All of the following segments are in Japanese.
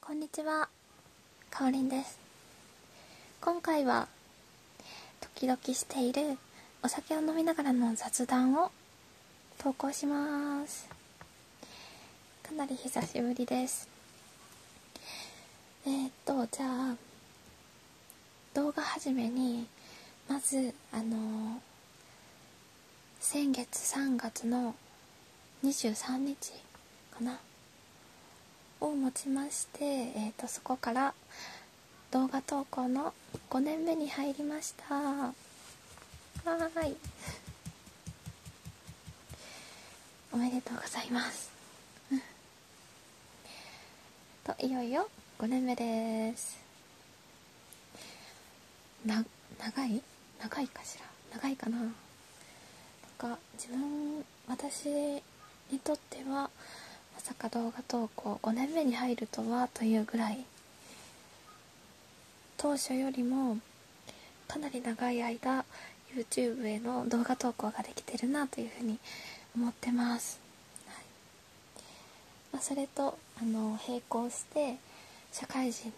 こんにちは、かおりんです。今回は、時々しているお酒を飲みながらの雑談を投稿します。かなり久しぶりです。えっと、じゃあ、動画始めに、まず、あの先月3月の23日かなをもちまして、えーと、そこから動画投稿の5年目に入りましたはーいおめでとうございますといよいよ5年目ですな長い長いかしら長いかななか自分私にとってはまさか動画投稿5年目に入るとはというぐらい当初よりもかなり長い間 YouTube への動画投稿ができてるなというふうに思ってます、まそれとあの並行して社会人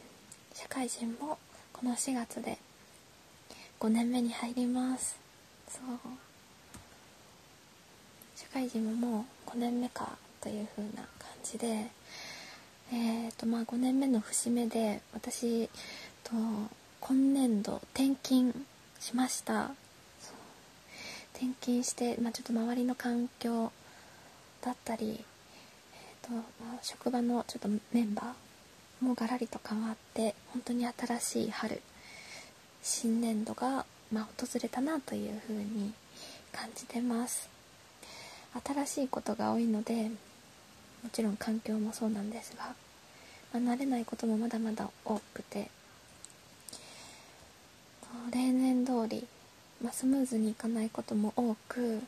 社会人もこの4月で5年目に入りますそう社会人ももう5年目かという風な感じでえっ、とま5年目の節目で私と今年度転勤しました転勤して、まちょっと周りの環境だったりえーとま職場のちょっとメンバーもがらりと変わって本当に新しい春新年度が、ま訪れたなというふうに感じてます新しいことが多いのでもちろん環境もそうなんですが、ま慣れないこともまだまだ多くて例年通り、まスムーズにいかないことも多く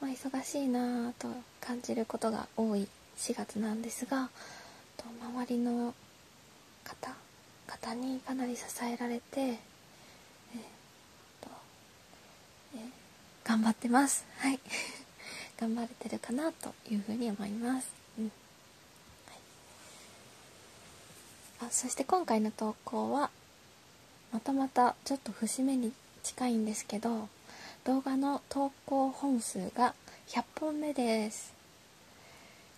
ま忙しいなぁと感じることが多い4月なんですが周りの方方にかなり支えられて、え頑張ってます。はい 頑張れてるかなというふに思います。うんあそして今回の投稿はまたまたちょっと節目に近いんですけど動画の投稿本数が100本目です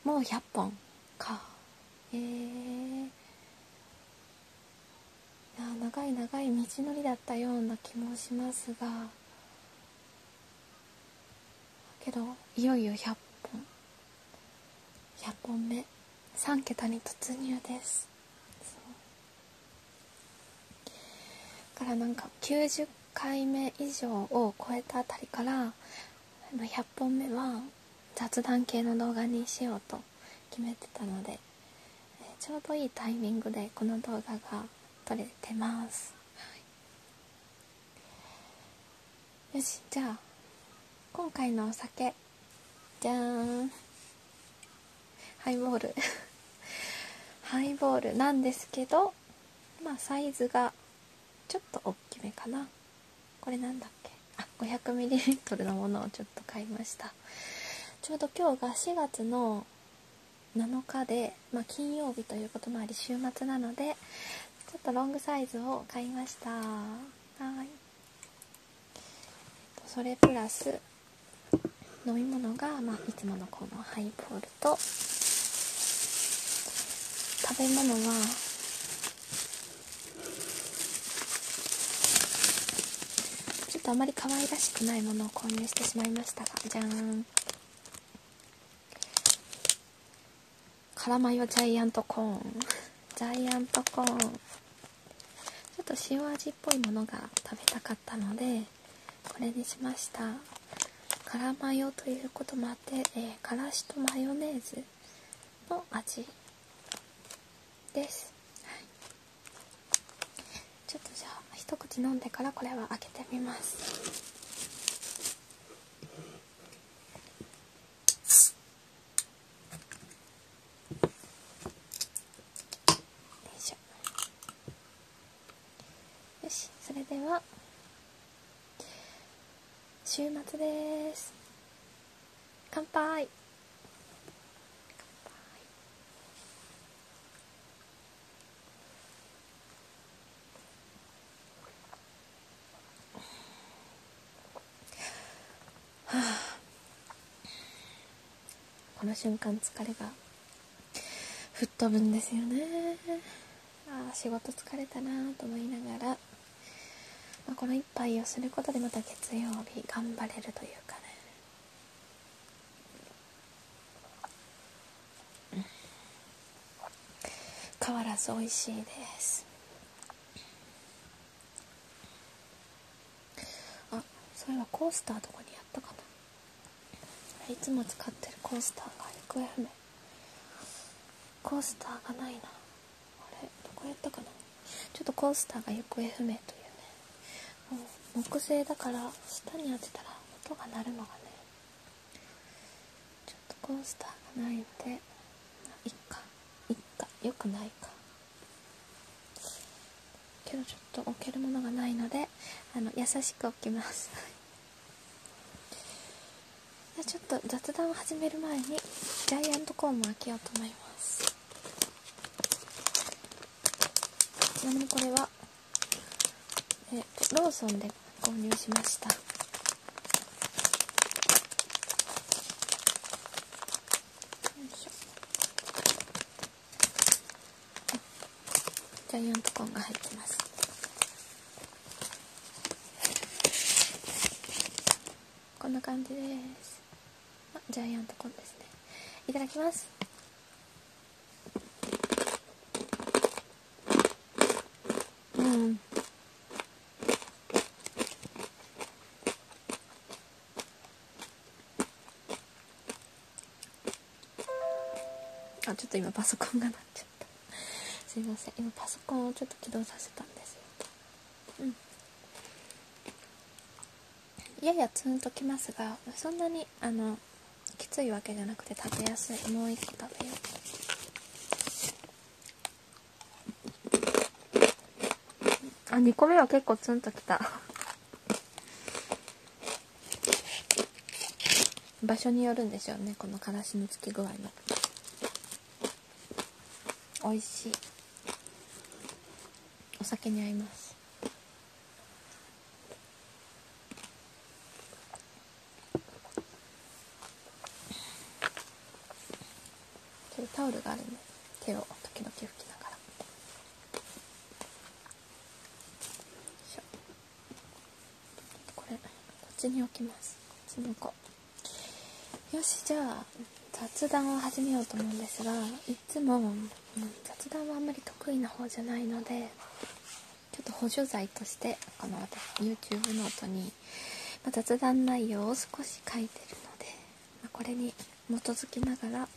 もう100本かえいや長い長い道のりだったような気もしますがけどいよいよ100本100本目3桁に突入ですからなんか90回目以上を超えたあたりから100本目は雑談系の動画にしようと決めてたのでちょうどいいタイミングでこの動画が撮れてます、はい、よしじゃあ今回のお酒いじゃーんハイボール ハイボールなんですけどまあサイズがちょっと大きめかなこれなんだっけあ 500ml のものをちょっと買いましたちょうど今日が4月の7日で、ま金曜日ということもあり週末なのでちょっとロングサイズを買いましたはいそれプラス飲み物が、まいつものこのハイボールと食べ物はちょっとあまり可愛らしくないものを購入してしまいましたがじゃーん辛マヨジャイアントコーンジャイアントコーンちょっと塩味っぽいものが食べたかったのでこれにしました辛マヨということもあって、えー、からしとマヨネーズの味です、はい、ちょっとじゃあ一口飲んでからこれは開けてみますしょよしそれでは週末です乾杯はあ、この瞬間疲れが吹っ飛ぶんですよねああ仕事疲れたなと思いながら、まあ、この一杯をすることでまた月曜日頑張れるというかね変わらず美味しいですあそういえばコースターどこにやったかないつも使ってるコースターが行方不明コースターがないなあれどこやったかなちょっとコースターが行方不明というねもう木製だから下に当てたら音が鳴るのがねちょっとコースターがないんでいっかいっかよくないかけどちょっと置けるものがないのであの優しく置きます じゃちょっと雑談を始める前にジャイアントコーンも開けようと思いますちなみにこれは、えーと、ローソンで購入しましたよいしょジャイアントコーンが入ってますこんな感じですジャイアントコーンですねいただきますうんあちょっと今パソコンが鳴っちゃった すいません今パソコンをちょっと起動させたんですようんややツンときますがそんなにあのきついわけじゃなくて食べやすいもう一個食べようあ2個目は結構ツンときた場所によるんでしょうねこのからしのつき具合も美味しいお酒に合いますタオルがあるね手を時々拭きながら。これこっちに置きますこっちに置よしじゃあ雑談を始めようと思うんですがいっつも、ん、雑談はあんまり得意な方じゃないのでちょっと補助剤としてこの YouTube ノートに、ま雑談内容を少し書いてるので、まこれに基づきながら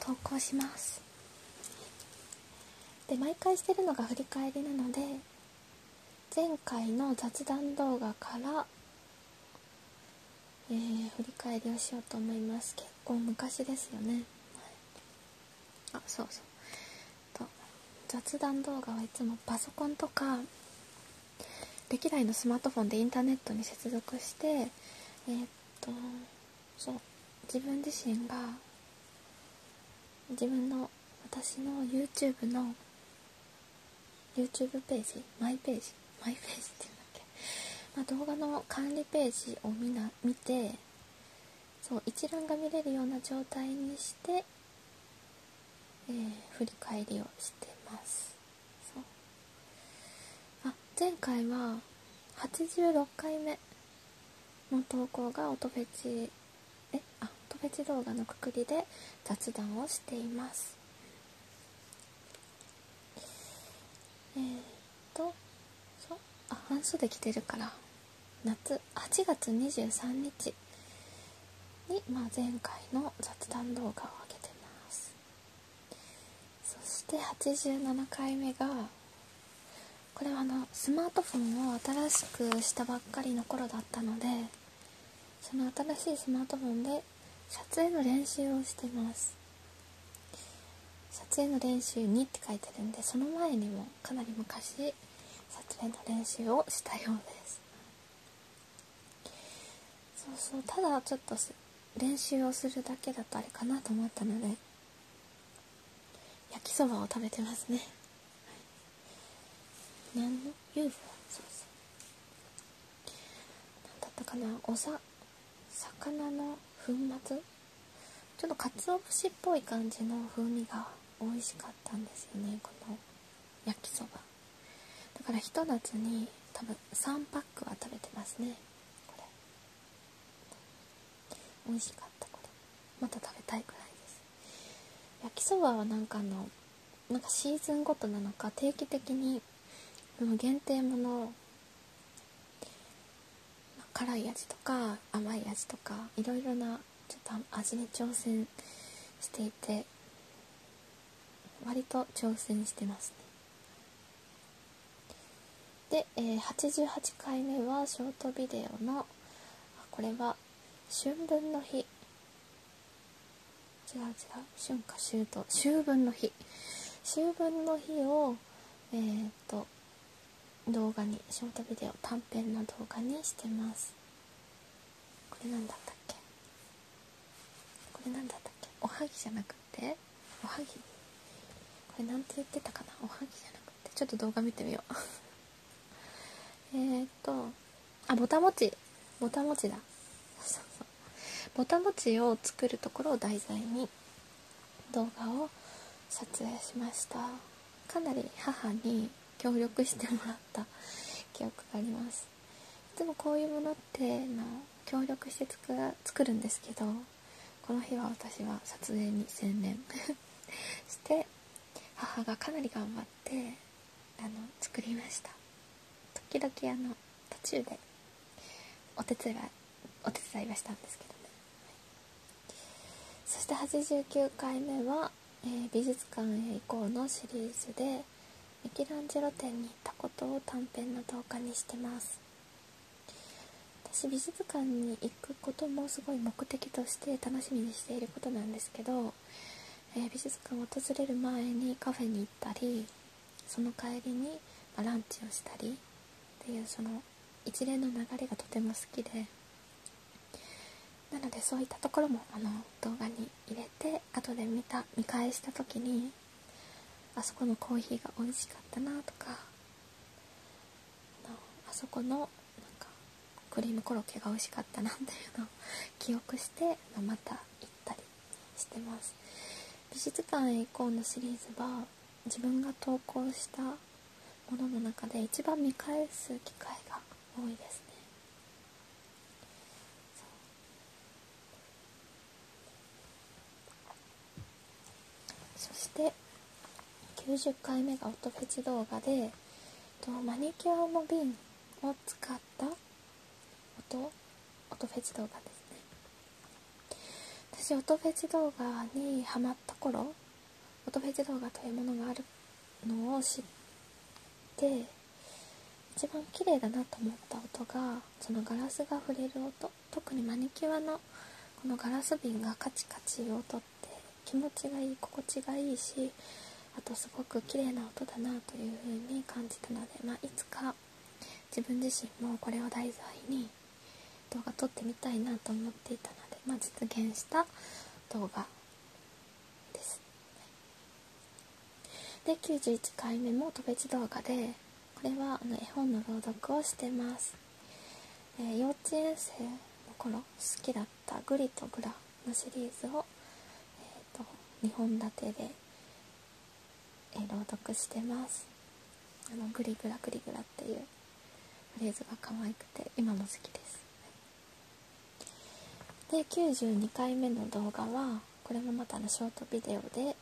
投稿しますで毎回してるのが振り返りなので前回の雑談動画から、え振り返りをしようと思います結構昔ですよね、はい、あそうそう雑談動画はいつもパソコンとか歴代のスマートフォンでインターネットに接続してえっとそう自分自身が自分の私の YouTube の YouTube ページマイページマイページっていうんだっけ、ま動画の管理ページを見な見てそう一覧が見れるような状態にして、え振り返りをしてますそうあ前回は86回目の投稿が音フェチえあ音フェチ動画のくくりで雑談をしていますえっとそうあ半袖着てるから夏8月23日に、まあ、前回の雑談動画を上げてますそして87回目がこれはあのスマートフォンを新しくしたばっかりの頃だったのでその新しいスマートフォンで撮影の練習をしてます撮影の練習にって書いてるんでその前にもかなり昔撮影の練習をしたようですそうそうただちょっと練習をするだけだとあれかなと思ったので焼きそばを食べてますね、はい、何の UFO そうそう何だったかなおさ魚の粉末ちょっとかつお節っぽい感じの風味が美味しかったんですよねこの焼きそばだからひと夏に多分3パックは食べてますねこれ美味しかったこれまた食べたいくらいです焼きそばはなんかのなんかシーズンごとなのか定期的にその限定もの辛い味とか甘い味とかいろいろなちょっと味に挑戦していて割と挑戦してますねで、え88回目はショートビデオのこれは春分の日違う違う春夏秋冬秋分の日秋分の日をえっ、と動画にショートビデオ短編の動画にしてますこれ何だったっけこれ何だったっけおはぎじゃなくておはぎこれなんて言ってたかなおはぎじゃなくてちょっと動画見てみよう えっとあぼたもちぼたもちだそうそうぼたもちを作るところを題材に動画を撮影しましたかなり母に協力してもらった記憶がありますいつもこういうものっての協力して作るんですけどこの日は私は撮影に専念 して母がかなり頑張ってあの作りました時々あの途中でお手伝いお手伝いはしたんですけどね、そして89回目は、え美術館へ行こう」のシリーズでミケランジェロ展に行ったことを短編の動画にしてます私美術館に行くこともすごい目的として楽しみにしていることなんですけど、え美術館を訪れる前にカフェに行ったりその帰りにランチをしたりっていうその一連の流れがとても好きでなのでそういったところもあの動画に入れて後で見た見返した時にあそこのコーヒーが美味しかったなとかあそこのなんかクリームコロッケが美味しかったなっていうのを 記憶して、ままた行ったりしてます美術館へ行こうのシリーズは自分が投稿したものの中で一番見返す機会が多いですねそして90回目が音フェチ動画でマニキュアも瓶を使った音フェチ動画ですね私音フェチ動画にはまった頃音フェチ動画というものがあるのを知って一番綺麗だなと思った音がそのガラスが触れる音特にマニキュアのこのガラス瓶がカチカチいう音って気持ちがいい心地がいいしあとすごく綺麗な音だなというふうに感じたので、まいつか自分自身もこれを題材に動画撮ってみたいなと思っていたので、ま実現した動画です。で91回目も特別動画でこれはあの絵本の朗読をしてます、え幼稚園生の頃好きだった「グリとグラ」のシリーズを、えーと、2本立てで、え朗読してますあのグリグラグリグラっていうフレーズが可愛くて今も好きですで92回目の動画はこれもまたのショートビデオで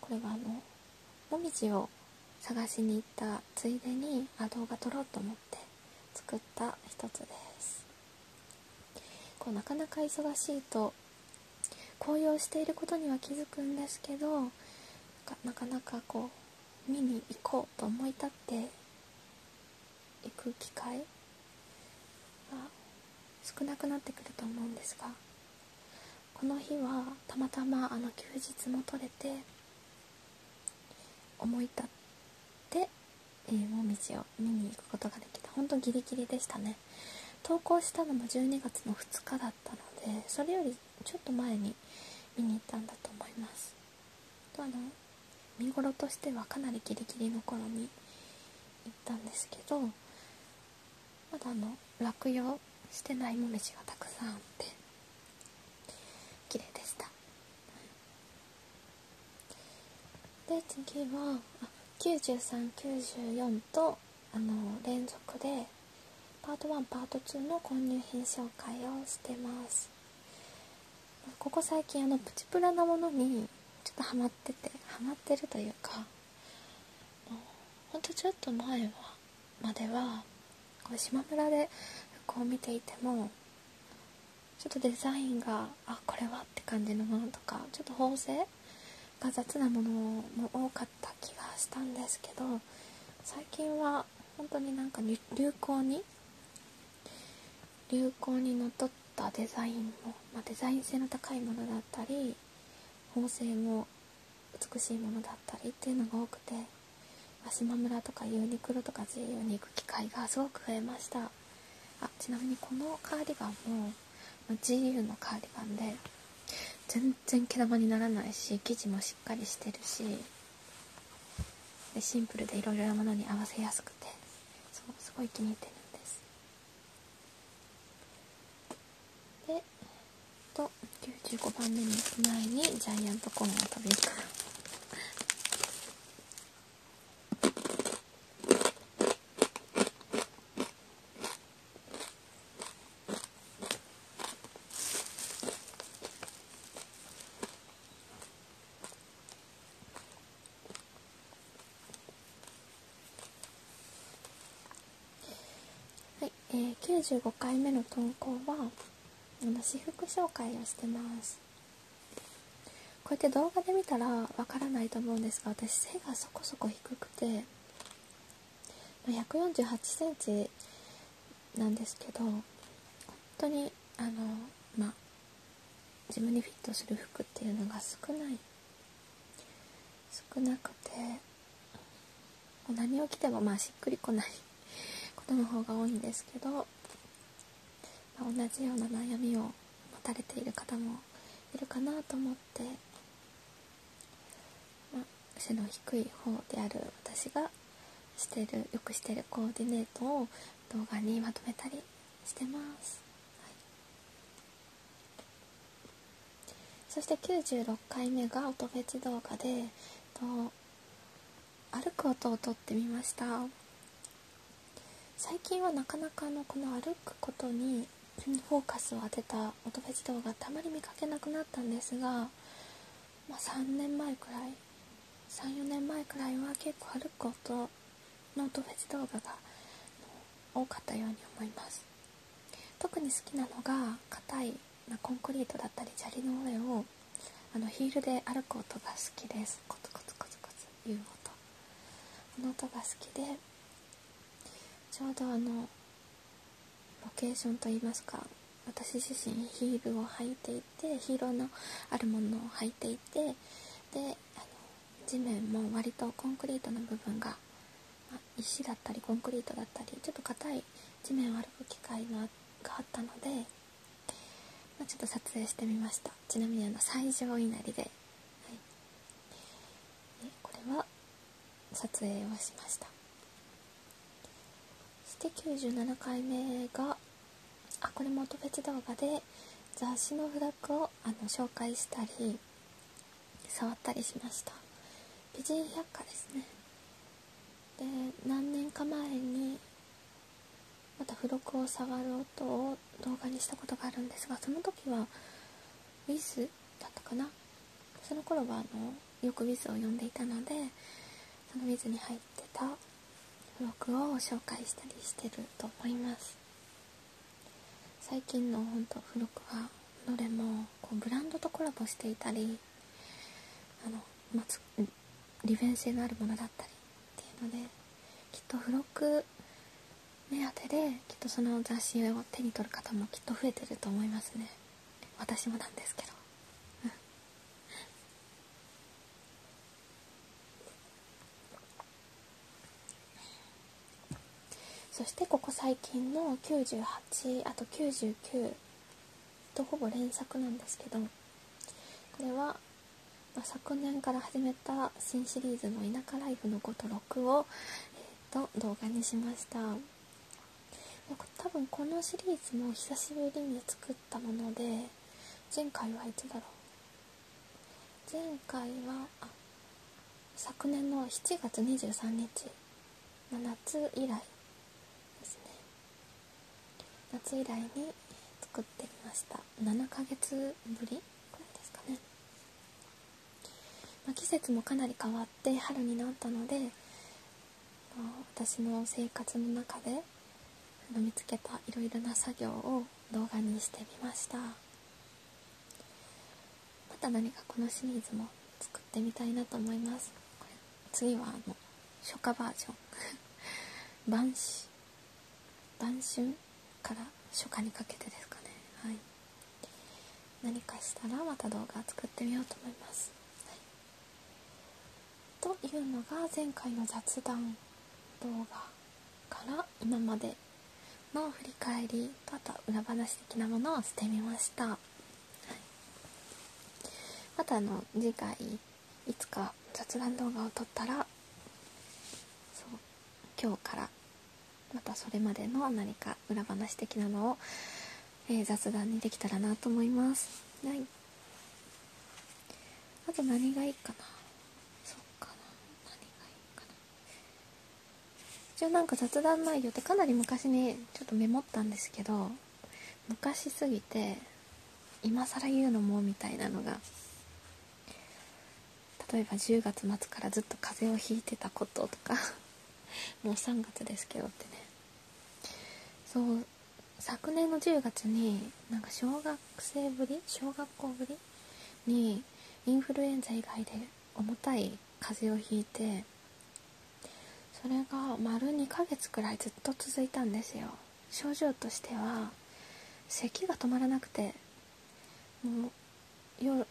これはあのもみじを探しに行ったついでにあ動画撮ろうと思って作った一つですこうなかなか忙しいと紅葉していることには気づくんですけどなかなかこう見に行こうと思い立っていく機会が少なくなってくると思うんですがこの日はたまたまあの休日も取れて思い立って、えー、もを見に行くことができた本当ギリギリでしたね投稿したのも12月の2日だったのでそれよりちょっと前に見に行ったんだと思いますあの見頃としてはかなりギリギリの頃に行ったんですけどまだあの落葉してないもみじがたくさんあって綺麗でしたで次は9394とあの連続でパート1パート2の購入品紹介をしてますここ最近あのプチプラなものにちょっとハマっててハマってるというかほんとちょっと前はまではこう島村で服を見ていてもちょっとデザインがあこれはって感じのものとかちょっと縫製が雑なものも多かった気がしたんですけど最近は本当になんか流行に流行にのっとったデザインも、まデザイン性の高いものだったり縫製も美しいものだったりっていうのが多くて和島村とかユニクロとか GU に行く機会がすごく増えましたあちなみにこのカーディガンも GU のカーディガンで全然毛玉にならないし生地もしっかりしてるしでシンプルでいろいろなものに合わせやすくてそうすごい気に入ってるんですでと95番目に行く前にジャイアントコーンを食べるから。はい、え95回目の投稿は私服紹介をしてますこうやって動画で見たらわからないと思うんですが私背がそこそこ低くて1 4 8センチなんですけど本当にあのまあ自分にフィットする服っていうのが少ない少なくてもう何を着てもまあしっくりこないことの方が多いんですけど、ま同じような悩みを持たれている方もいるかなと思って、ま背の低い方である私がしてるよくしてるコーディネートを動画にまとめたりしてます。はい、そして96回目が音フェチ動画でと歩く音を撮ってみました最近はなかなかのこの歩くことにフォーカスを当てた音フェチ動画ってあまり見かけなくなったんですが、ま3年前くらい34年前くらいは結構歩く音の音フェス動画が多かったように思います特に好きなのが硬いコンクリートだったり砂利の上をあのヒールで歩く音が好きですコツコツコツコツいう音この音が好きでちょうどあのロケーションといいますか私自身ヒールを履いていてヒーローのあるものを履いていてであの地面も割とコンクリートの部分が、ま石だったりコンクリートだったりちょっと硬い地面を歩く機会があったので、まちょっと撮影してみましたちなみにあの最上稲荷で、はい、これは撮影をしましたそして97回目があこれも音フ動画で雑誌のフラッグをあの紹介したり触ったりしました美人百科ですねで何年か前にまた付録を触る音を動画にしたことがあるんですがその時はウィズだったかなその頃はあのよくウィズを読んでいたのでそのウィズに入ってた付録を紹介したりしてると思います最近のほんと付録はどれもこうブランドとコラボしていたりあの、ま、利便性のあるものだったりっていうのできっと付録目当てできっとその雑誌を手に取る方もきっと増えてると思いますね私もなんですけどうん？そしてここ最近の98あと99とほぼ連作なんですけどこれは、ま昨年から始めた新シリーズの「田舎ライフの5と6を」えー、と動画にしました多分このシリーズも久しぶりに作ったもので前回はいつだろう前回は昨年の7月23日の夏以来ですね夏以来に作ってみました7ヶ月ぶりくらいですかね、ま季節もかなり変わって春になったので、まあ、私の生活の中で見つけたいろいろな作業を動画にしてみましたまた何かこのシリーズも作ってみたいなと思います次はあの初夏バージョン 晩秋晩春から初夏にかけてですかねはい何かしたらまた動画作ってみようと思います、というのが前回の雑談動画から今までの振り返りとあと裏話的なものをしてみました、またあの次回いつか雑談動画を撮ったらそう今日からまたそれまでの何か裏話的なのを、え雑談にできたらなと思います。はい、あと何がいいかなそうかな何がいいかな一応なんか雑談内容ってかなり昔にちょっとメモったんですけど昔すぎて今更言うのもみたいなのが例えば10月末からずっと風邪をひいてたこととか もう3月ですけどってねそう昨年の10月になんか小学生ぶり小学校ぶりにインフルエンザ以外で重たい風邪をひいてそれが丸2ヶ月くらいずっと続いたんですよ症状としては咳が止まらなくてもう夜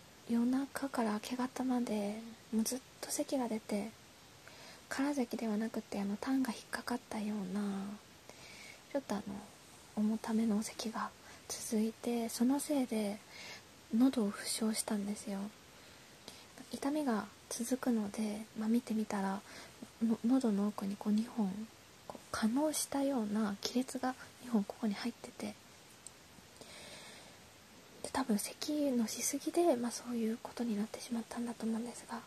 中から明け方までもうずっと咳が出て空咳ではなくてあの痰が引っかかったようなちょっとあの重ための咳が続いてそのせいで喉を負傷したんですよ痛みが続くので、ま見てみたらの喉の奥にこう2本こう可能したような亀裂が2本ここに入っててで多分咳のしすぎで、まそういうことになってしまったんだと思うんですが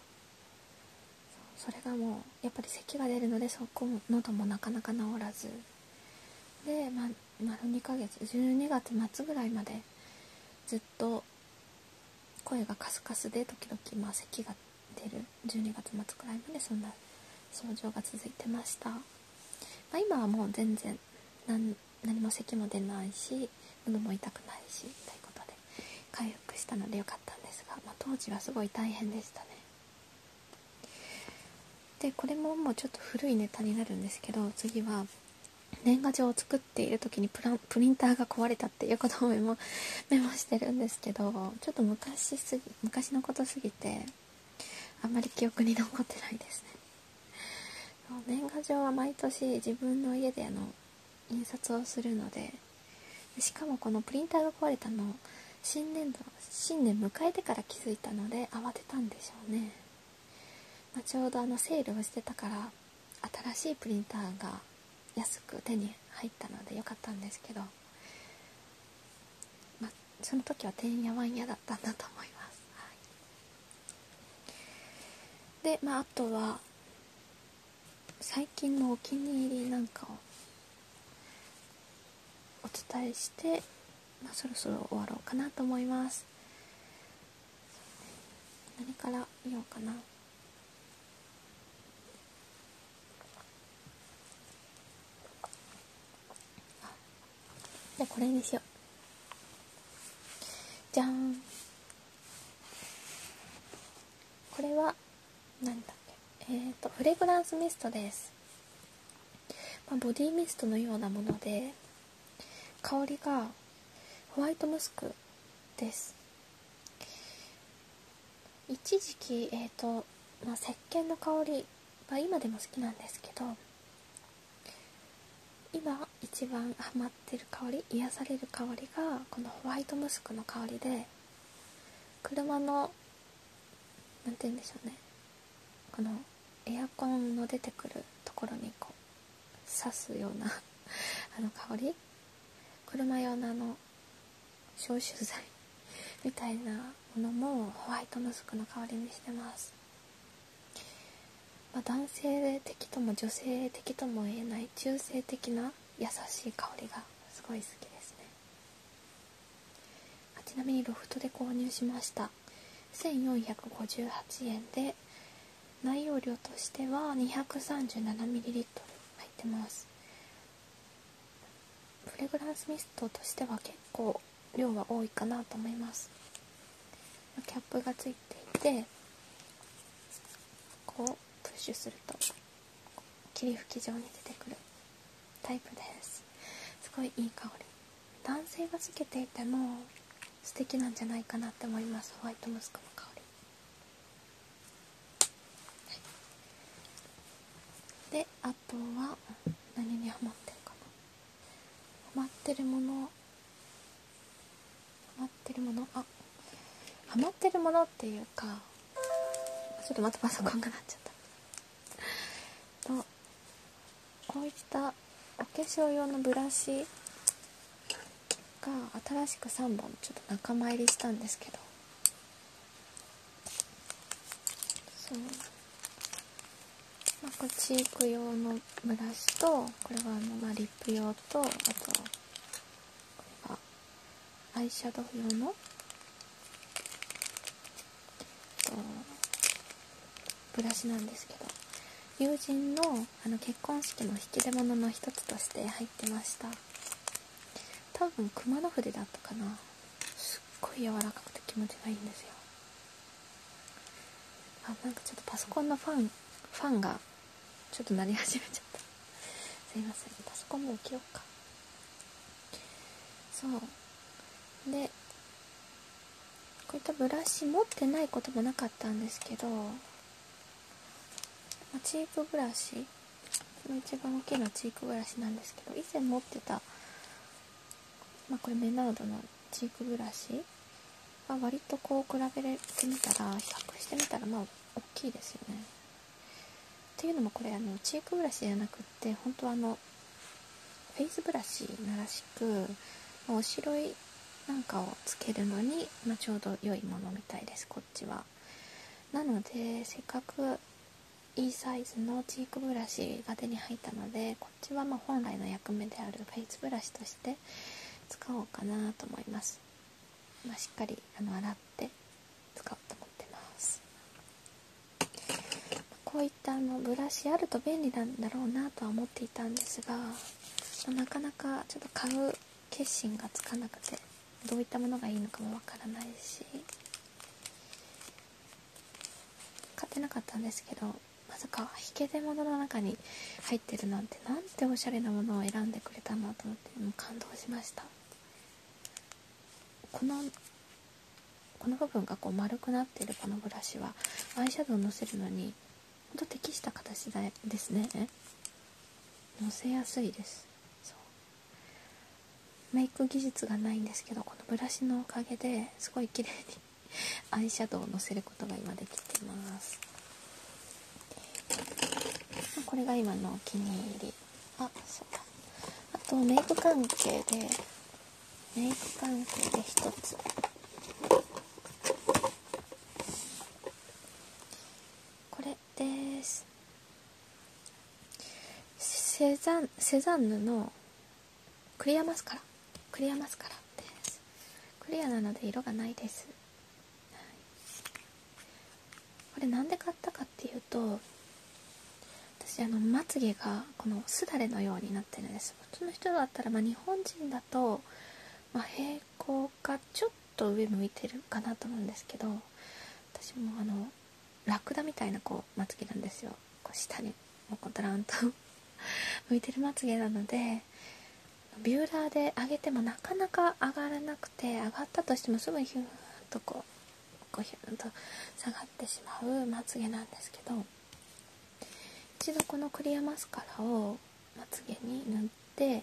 それがもうやっぱり咳が出るのでそこも喉もなかなか治らずで、ま、丸2ヶ月12月末ぐらいまでずっと声がカスカスで時々まあが出る12月末くらいまでそんな症状が続いてました、ま今はもう全然何何も咳も出ないし喉も痛くないしということで回復したので良かったんですが、ま当時はすごい大変でしたねでこれももうちょっと古いネタになるんですけど次は年賀状を作っている時にプラプリンターが壊れたっていうことをメモ してるんですけどちょっと昔すぎ昔のことすぎてあんまり記憶に残ってないですね年賀状は毎年自分の家であの印刷をするのでしかもこのプリンターが壊れたの新年度新年迎えてから気づいたので慌てたんでしょうね、まあ、ちょうどあのセールをしてたから新しいプリンターが安く手に入ったので良かったんですけど、まその時はてんやわんやだったんだと思います、はい、でまああとは最近のお気に入りなんかをお伝えして、まあ、そろそろ終わろうかなと思います何から見ようかなじゃあこれにしようじゃんこれは何だっけえっ、とフレグランスミストですまボディミストのようなもので香りがホワイトムスクです一時期えっ、ー、と、ま石鹸の香りは今でも好きなんですけど今一番ハマってる香り癒される香りがこのホワイトムスクの香りで車の何て言うんでしょうねこのエアコンの出てくるところにこう刺すような あの香り車用のあの消臭剤みたいなものもホワイトムスクの香りにしてます、ま男性的とも女性的とも言えない中性的な優しい香りがすごい好きですねちなみにロフトで購入しました1458円で内容量としては2 3 7ミリリットル入ってますフレグランスミストとしては結構量は多いかなと思いますキャップがついていてこうプッシュすると霧吹き状に出てくるタイプですすごいいい香り男性がつけていても素敵なんじゃないかなって思いますホワイトムスクの香り、であとは何にハマってるかなハマってるものハマってるものあハマってるものっていうかちょっとまたパソコンがなっちゃったとこういったお化粧用のブラシが新しく3本ちょっと仲間入りしたんですけどそうまこチーク用のブラシとこれはあのまリップ用とあとこれはアイシャドウ用のブラシなんですけど友人のあの結婚式の引き出物の一つとして入ってました多分熊野筆だったかなすっごい柔らかくて気持ちがいいんですよあなんかちょっとパソコンのファンファンがちょっと鳴り始めちゃったすいませんパソコンも置きようかそうでこういったブラシ持ってないこともなかったんですけどチークブラシの一番大きいのはチークブラシなんですけど以前持ってた、まこれメナードのチークブラシは割とこう比べてみたら比較してみたらまあ大きいですよね。っいうのもこれチークブラシじゃなくっ本当あのフェイスブラシならしくおしろいなんかをつけるのに、まちょうど良いものみたいですこっちはなのでせっかくいいサイズのチークブラシが手に入ったのでこっちはま本来の役目であるフェイスブラシとして使おうかなと思います、ましっかりあの洗って使うと思いすっこういったあのブラシあると便利なんだろうなとは思っていたんですがなかなかちょっと買う決心がつかなくてどういったものがいいのかもわからないし買ってなかったんですけどまさか引け出物の中に入ってるなんてなんておしゃれなものを選んでくれたんと思って感動しましたこの部分がこう丸くなってるこのブラシはアイシャドウをのせるのにほんと適した形ですねえ、のせやすいですそうメイク技術がないんですけどこのブラシのおかげですごい綺麗に アイシャドウをのせることが今できてますこれが今のお気に入りあそうか。あとメイク関係でメイクパンで1つこれですセザンヌのクリアマスカラクリアマスカラですクリアなので色がないです、これなんで買ったかっていうと私あのまつげがこのすだれのようになってるんです普通の人だったら、ま日本人だと、ま平行かちょっと上向いてるかなと思うんですけど私もあのラクダみたいなこうまつげなんですよこう下にもうドランと 向いてるまつげなのでビューラーで上げてもなかなか上がらなくて上がったとしてもすぐにヒューッとこうこうひゅと下がってしまうまつげなんですけど一度このクリアマスカラをまつげに塗って、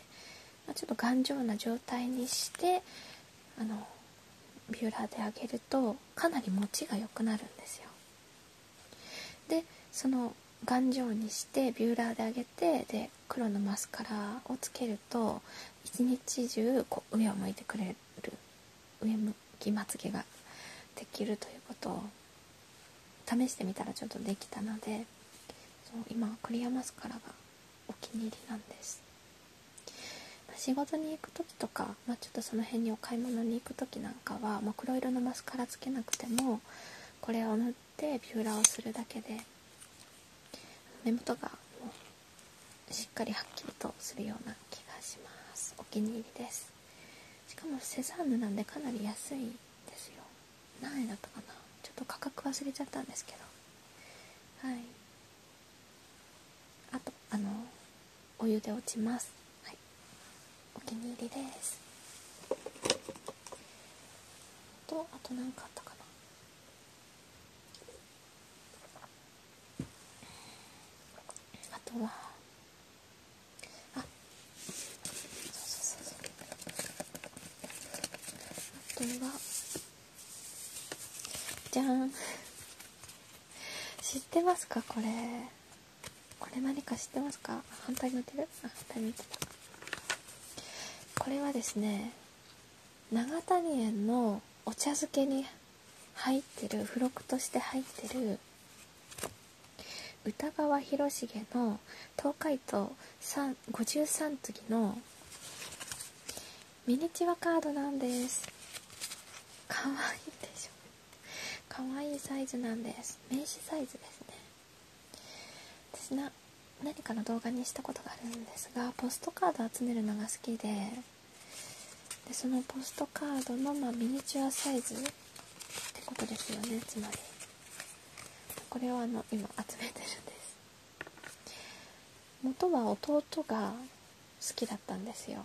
まちょっと頑丈な状態にしてあのビューラーで上げるとかなり持ちが良くなるんですよ。でその頑丈にしてビューラーで上げてで黒のマスカラをつけると一日中こう上を向いてくれる上向きまつげができるということを試してみたらちょっとできたのでそう今クリアマスカラがお気に入りなんです、ま仕事に行く時とか、まあ、ちょっとその辺にお買い物に行く時なんかは、もう黒色のマスカラつけなくてもこれを塗ってビューラーをするだけで目元がしっかりはっきりとするような気がしますお気に入りですしかもセザンヌなんでかなり安いですよ何円だったかなちょっと価格忘れちゃったんですけどはいあとあのお湯で落ちますはいお気に入りですとあと何かあったかなあとはあそうそうそうそうあとはじゃん知ってますかこれこれ何か知ってますか反対向いて反対向いてこれはですね長谷園のお茶漬けに入ってる付録として入ってる歌川広重の東海道53次のミニチュアカードなんですかわいいでしょかわいいサイズなんです名刺サイズですね私な何かの動画にしたことがあるんですがポストカード集めるのが好きででそのポストカードの、まミニチュアサイズってことですよねつまりこれをあの今集めてるんです元は弟が好きだったんですよ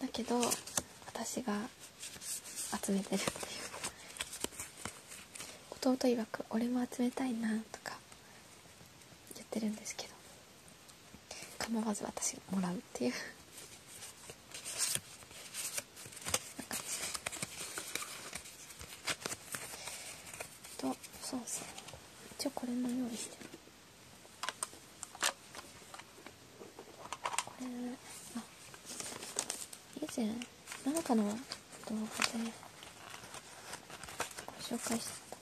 だけど私が集めてるっていう弟曰く俺も集めたいなとか言ってるんですけど構わず私がもらうっていうなんかでとそうですね一応これも用意してるこれあ以前なんかの動画でご紹介してた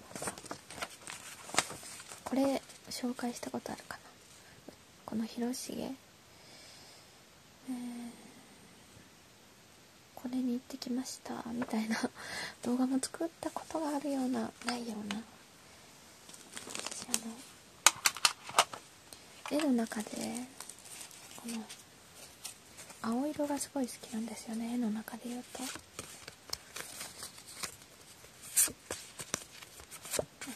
これ紹介したことあるかなこの広重、えこれに行ってきましたみたいな 動画も作ったことがあるようなないような私あの絵の中でこの青色がすごい好きなんですよね絵の中で言うと。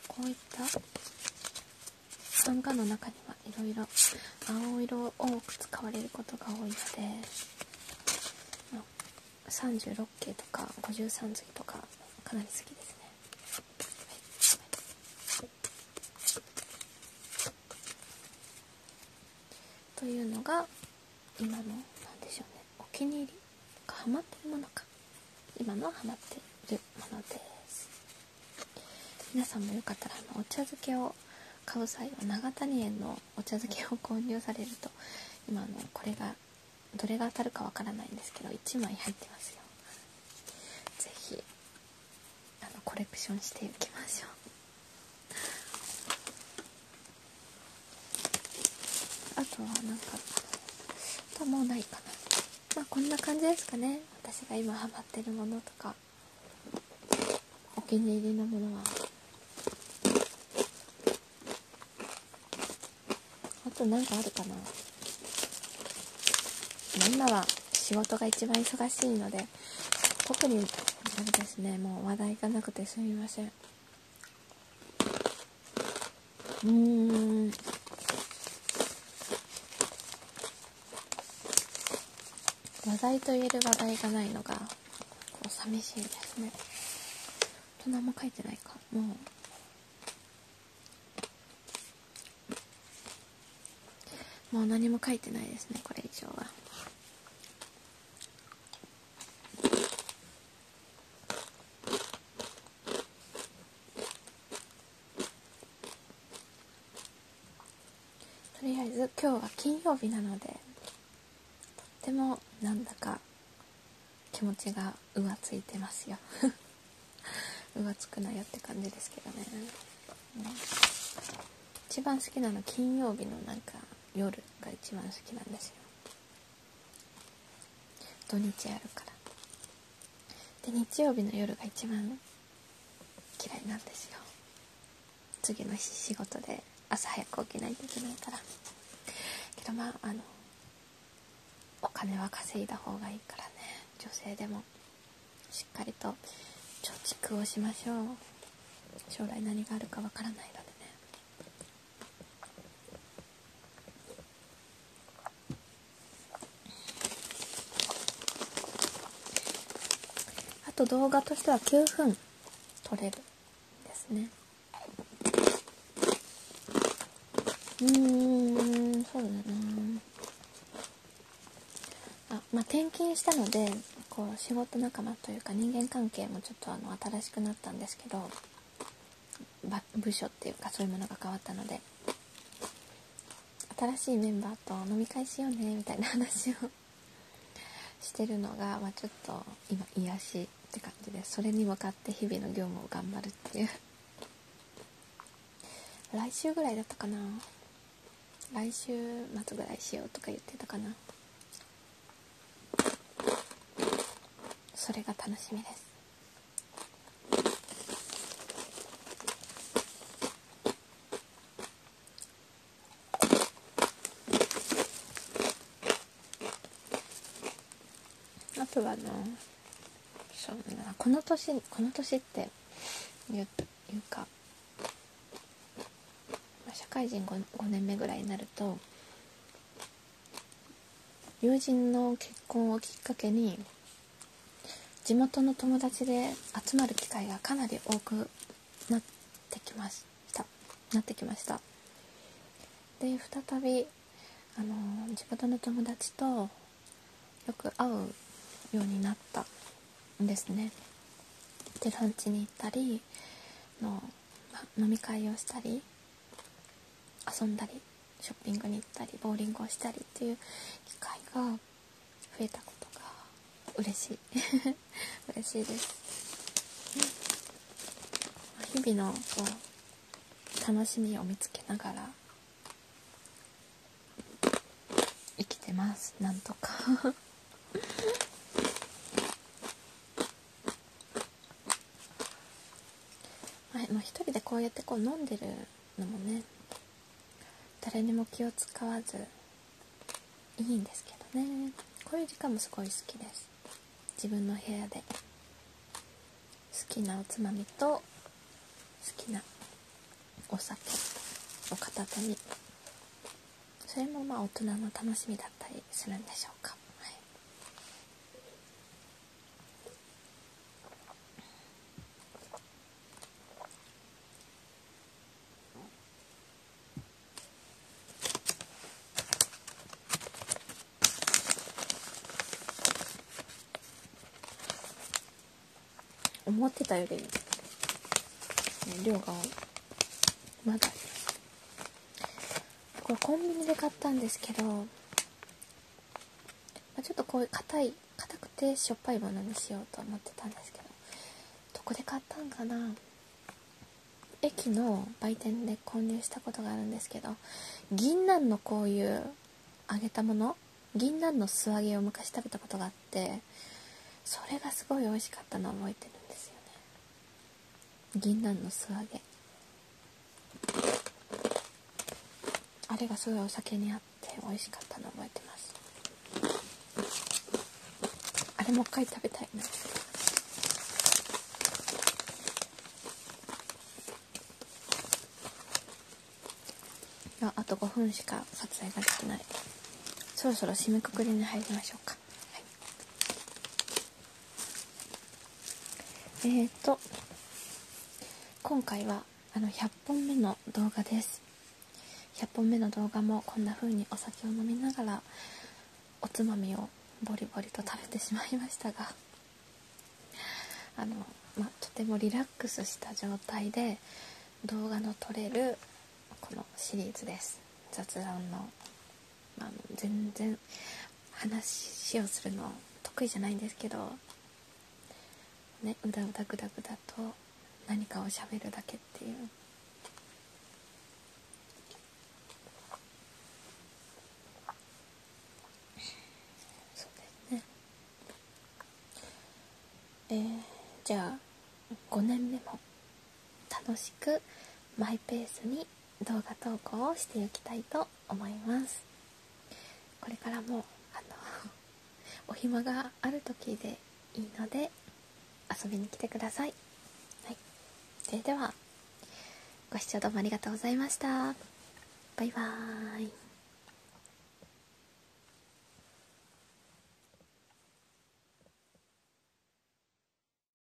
こういった漫画の中にはいろいろ青色を多く使われることが多いので36系とか53きとかかなり好きですね。はい、というのが今の何でしょうねお気に入りがハマってるものか今のはハってるものです皆さんもよかったらあのお茶漬けを買う際は永谷園のお茶漬けを購入されると今のこれがどれが当たるかわからないんですけど1枚入ってますよ是非コレクションしていきましょうあとはなんかとはもないかなまあこんな感じですかね私が今ハマってるものとかお気に入りのものはあと何かあるかな今は仕事が一番忙しいので特にそれですねもう話題がなくてすみませんうん話題と言える話題がないのがこう寂しいですねと何も書いてないかもうもう何も書いてないですねこれ以上はとりあえず今日は金曜日なのでとってもなんだか気持ちが浮ついてますよ浮 つくなよって感じですけどね、うん、一番好きなの金曜日のなんか夜が一番好きなんですよ土日あるからで日曜日の夜が一番嫌いなんですよ次の日仕事で朝早く起きないといけないからけどまああのお金は稼いだ方がいいからね女性でもしっかりと貯蓄をしましょう将来何があるかわからないのでねあと動画としては9分撮れるですねうんそうだなあまあ転勤したのでこう仕事仲間というか人間関係もちょっとあの新しくなったんですけど部署っていうかそういうものが変わったので新しいメンバーと飲み会しようねみたいな話をしてるのが、まちょっと今癒しって感じでそれに向かって日々の業務を頑張るっていう来週ぐらいだったかな来週末ぐらいしようとか言ってたかなそれが楽しみですあとはあのこの年この年っていうか社会人 5, 5年目ぐらいになると友人の結婚をきっかけに地元の友達で集まる機会がかなり多くなってきましたなってきましたで再びあの地元の友達とよく会うようになったんですねでラ地に行ったりの、ま、飲み会をしたり遊んだりショッピングに行ったりボウリングをしたりっていう機会が増えたことが嬉しい 嬉しいです、日々のこう楽しみを見つけながら生きてますなんとかはい、もう一人でこうやってこう飲んでるのもね誰にも気を使わずいいんですけどねこういう時間もすごい好きです自分の部屋で好きなおつまみと好きなお酒を片手にそれもまあ大人の楽しみだったりするんでしょうか、はい、思ってたより、量が多い。まだこれコンビニで買ったんですけど、まちょっとこういう硬い硬くてしょっぱいものにしようと思ってたんですけどどこで買ったんかな駅の売店で購入したことがあるんですけど銀杏のこういう揚げたもの銀杏の素揚げを昔食べたことがあってそれがすごい美味しかったのを覚えてるんですよね銀杏の素揚げあれがすごいお酒に合って美味しかったの覚えてますあれもう一回食べたいなあと5分しか撮影ができないそろそろ締めくくりに入りましょうかえっ、と今回はあの100本目の動画です100本目の動画もこんな風にお酒を飲みながらおつまみをボリボリと食べてしまいましたがあの、まとてもリラックスした状態で動画の撮れるこのシリーズです雑談のあ全然話をするの得意じゃないんですけど、ね、うだうだぐだぐだと何かをしゃべるだけっていう。そうですね。えー、じゃあ5年目も楽しくマイペースに動画投稿をしていきたいと思いますこれからもあの お暇がある時でいいので遊びに来てください、はい、それではご視聴どうもありがとうございましたバイバーイ